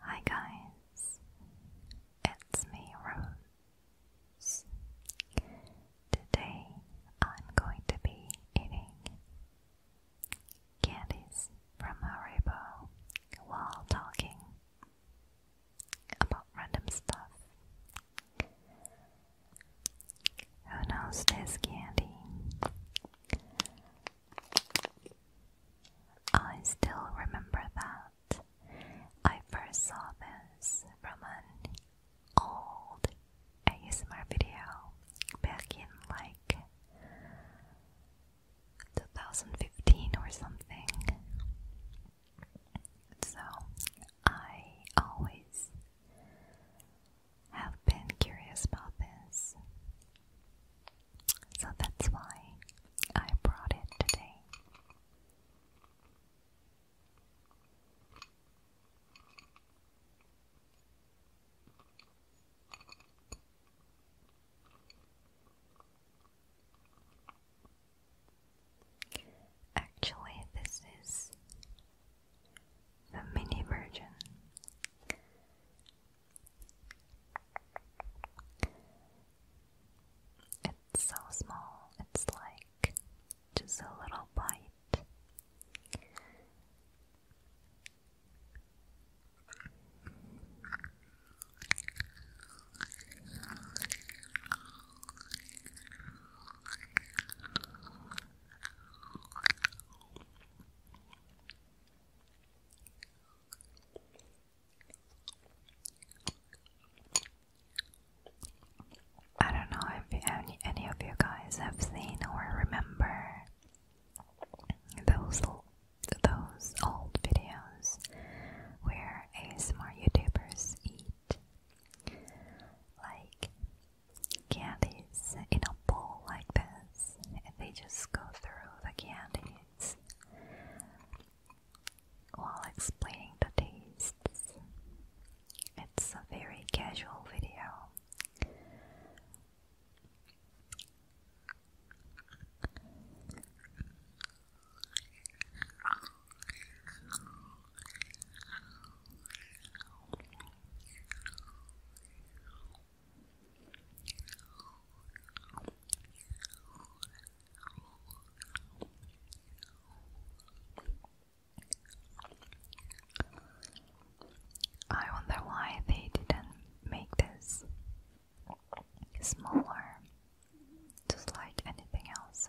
Hi guys, it's me Rose. Today I'm going to be eating candies from Haribo while talking about random stuff. Who knows this candy? I still remember that I first saw this from an old ASMR video back in like 2015 or something. So I always have been curious about this. So that's why I brought it today. Actually, this is the mini version. It's so small, it's like just a little bite. I don't know if any, any of you guys have seen or remember those those old videos where smart YouTubers eat. Like candies in a bowl like this, and they just go through the candies while explaining the tastes. It's a very casual video. I wonder why they didn't make this smaller, just like anything else.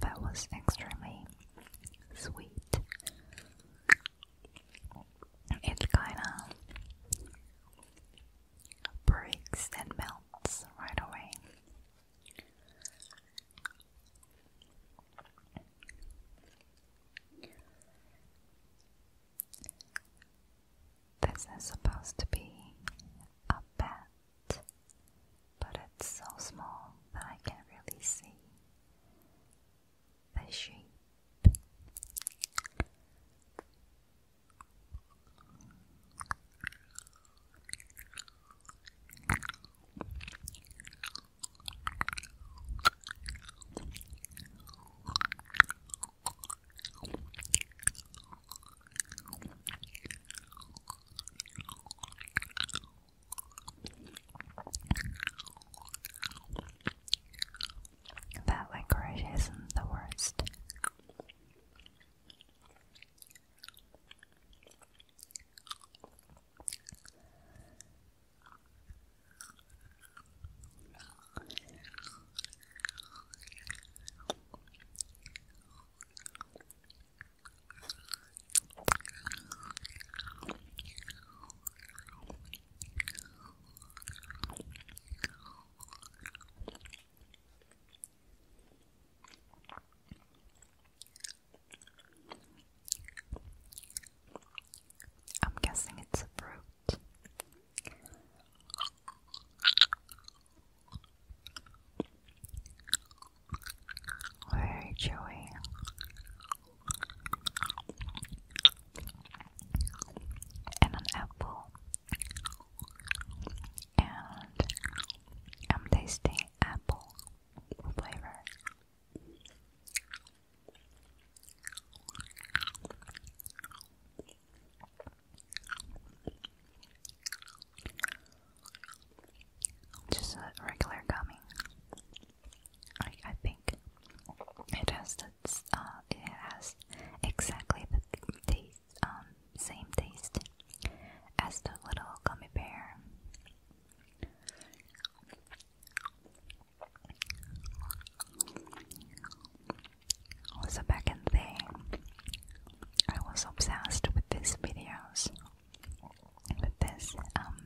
that was extremely sweet. It kinda breaks and melts right away. This is supposed to be a bed but it's so small that I can't really see the shape. That licorice isn't the worst. I'm guessing it's a fruit. Very chewy. And an apple. And I'm tasting apple flavor. Just a regular gummy. I I think it has the uh, it has exactly the um, same taste as the little gummy bear. Also back in the I was obsessed with these videos, with this um,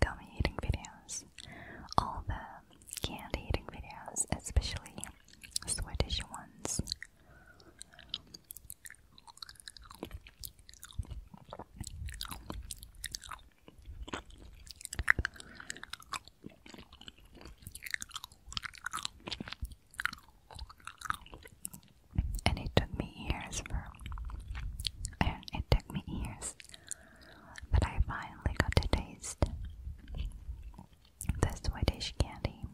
gummy eating videos, all the candy eating videos, especially Swedish ones. And it took me years for and it took me years but I finally got to taste the Swedish candy.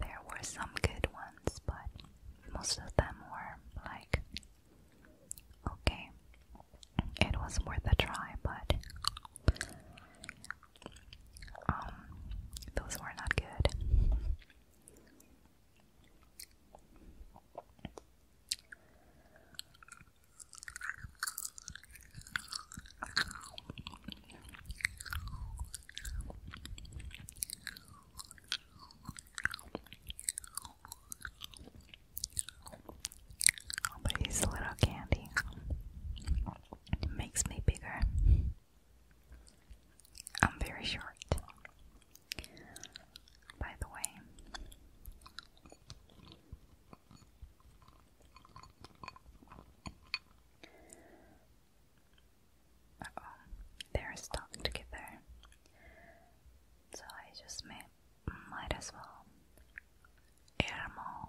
There were some good ones, but most of them were like okay, it was worth a try, but um, those were not good. But little candy makes me bigger. I'm very short. By the way. oh, they're stuck together. So I just made might as well. Ermo.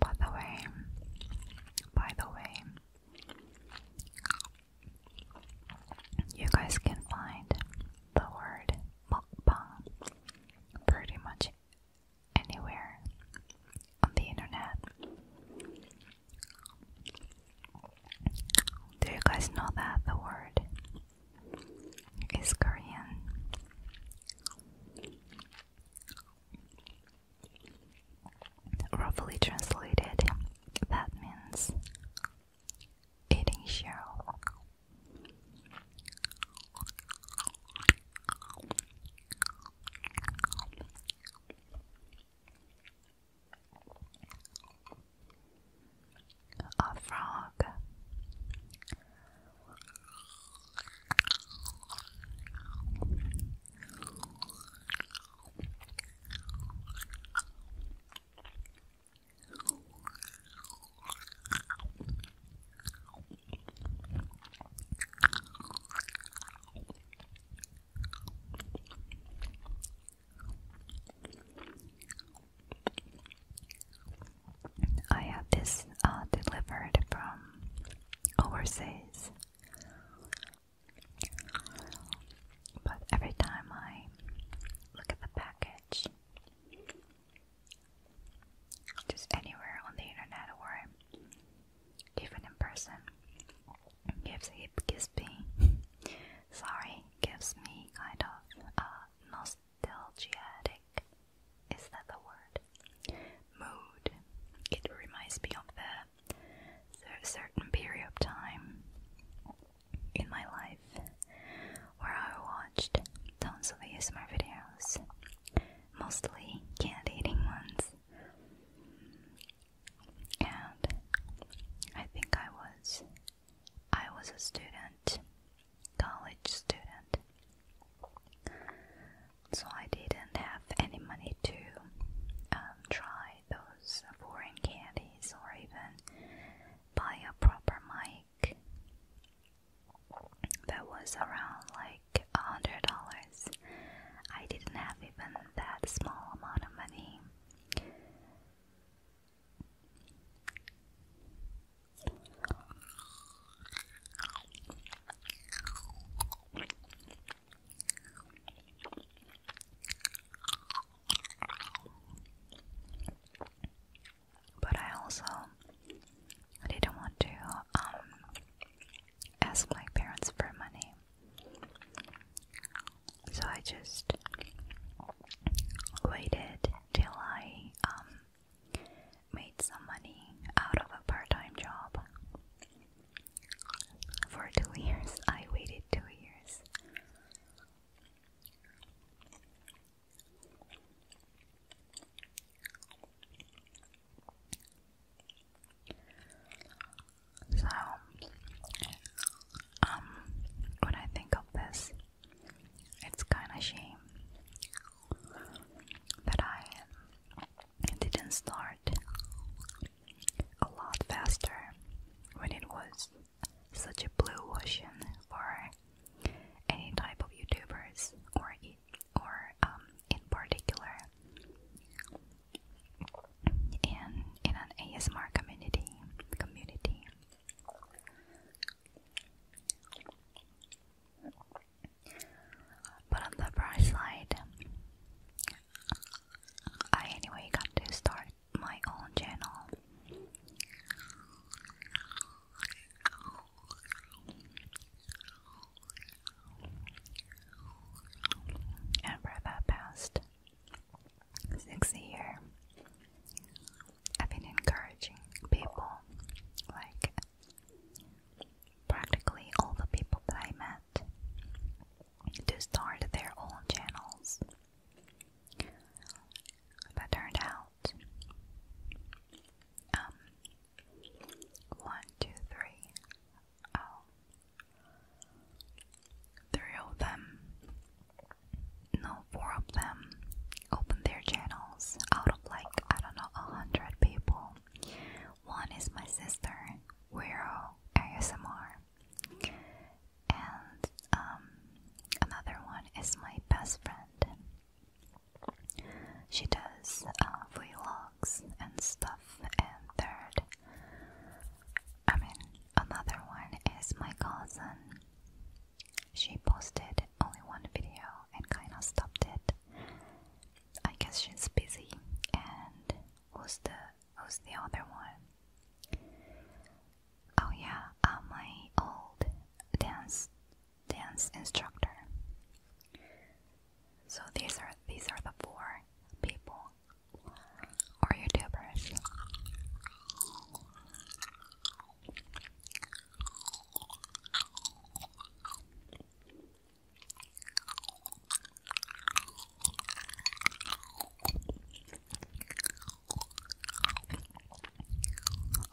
By the way, by the way, you guys can find the word mukbang pretty much anywhere on the internet. Do you guys know that the word is Korean? Roughly translated, that means eating shell. A frog. I have this uh, delivered from overseas. But every time I look at the package, just anywhere on the internet or even in person, gives it gives me sorry gives me kind of uh, nostalgic is that the word? Mood. It reminds me of the, certain period of time in my life where I watched tons of ASMR videos, mostly candy eating ones. And I think I was I was a student, college student, so I didn't have any money to um, try those foreign candies or even buy a proper mic. That was around like a hundred dollars. I didn't have even that small amount of money. But I also didn't want to um, ask my parents for money. So I just waited till I um, made some money out of a part time job. For two years, I waited two years. So, um, when I think of this, it's kind of shame that I didn't start a lot faster when it was such a blue ocean for any type of YouTubers or or um, in particular in in an ASMR community community. But on the bright side, I anyway got to start my own channel. And for that past six year, I've been encouraging people like practically all the people that I met to start their own channels. But turned out, um, one, two, three, oh, three of them, no, four of them opened their channels out of like, I don't know, a hundred people. One is my sister, we're Wiro ASMR, and um, another one is my best friend. She does uh, vlogs and stuff. And third, I mean, another one is my cousin. She posted only one video and kind of stopped it I guess she's busy. And who's the who's the other one? Oh yeah, uh, my old dance dance instructor. So these are these are the four people or YouTubers.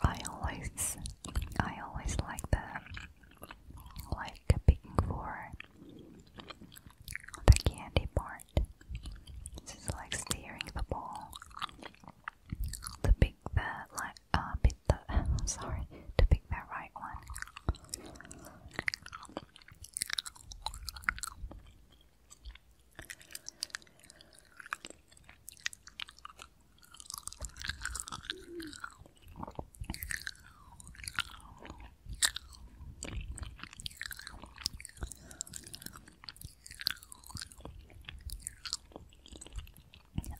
I always I always like the like picking for the candy part. This is like steering the ball to pick the like uh, pick the sorry to pick the right one.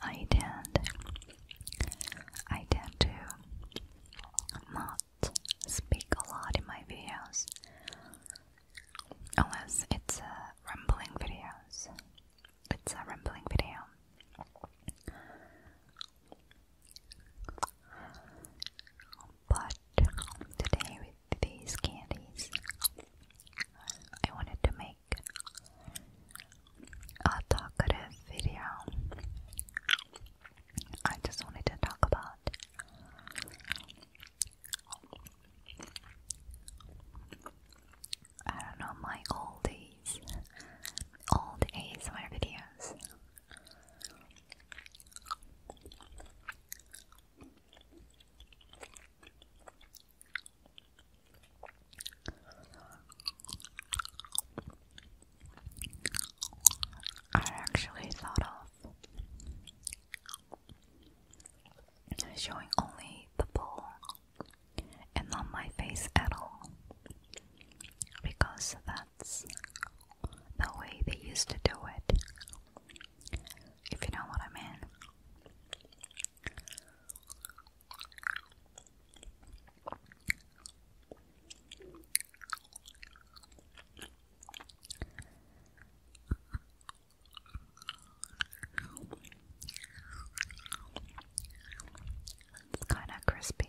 I tend I tend to not speak a lot in my videos unless it's a rambling videos. It's a rambling video. But today with these candies I wanted to make a talkative video. I just wanted to talk about I don't know my old days, old ASMR videos. I actually thought of showing only the bowl and not my face at all because that's the way they used to do it, if you know what I mean. It's kind of crispy.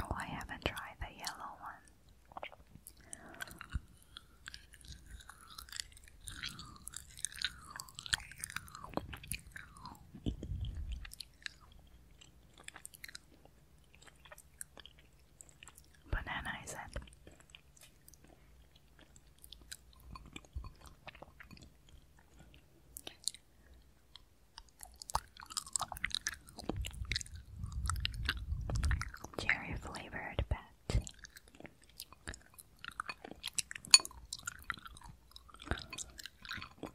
Oh, I haven't tried the yellow one. Banana, I said. Cherry flavored pet.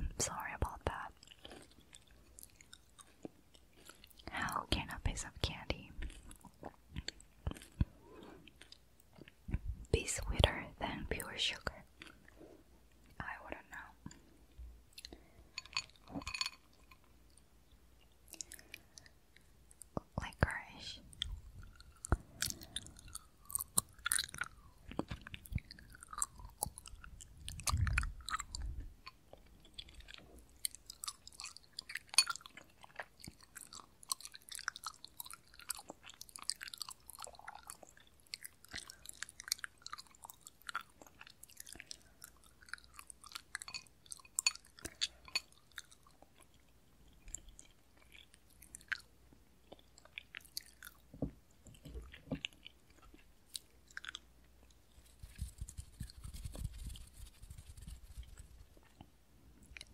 I'm sorry about that. How can a piece of candy be sweeter than pure sugar? I wouldn't know licorice.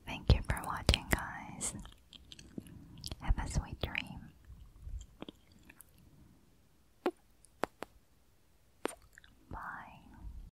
Thank you for watching, guys. Have a sweet dream. Bye.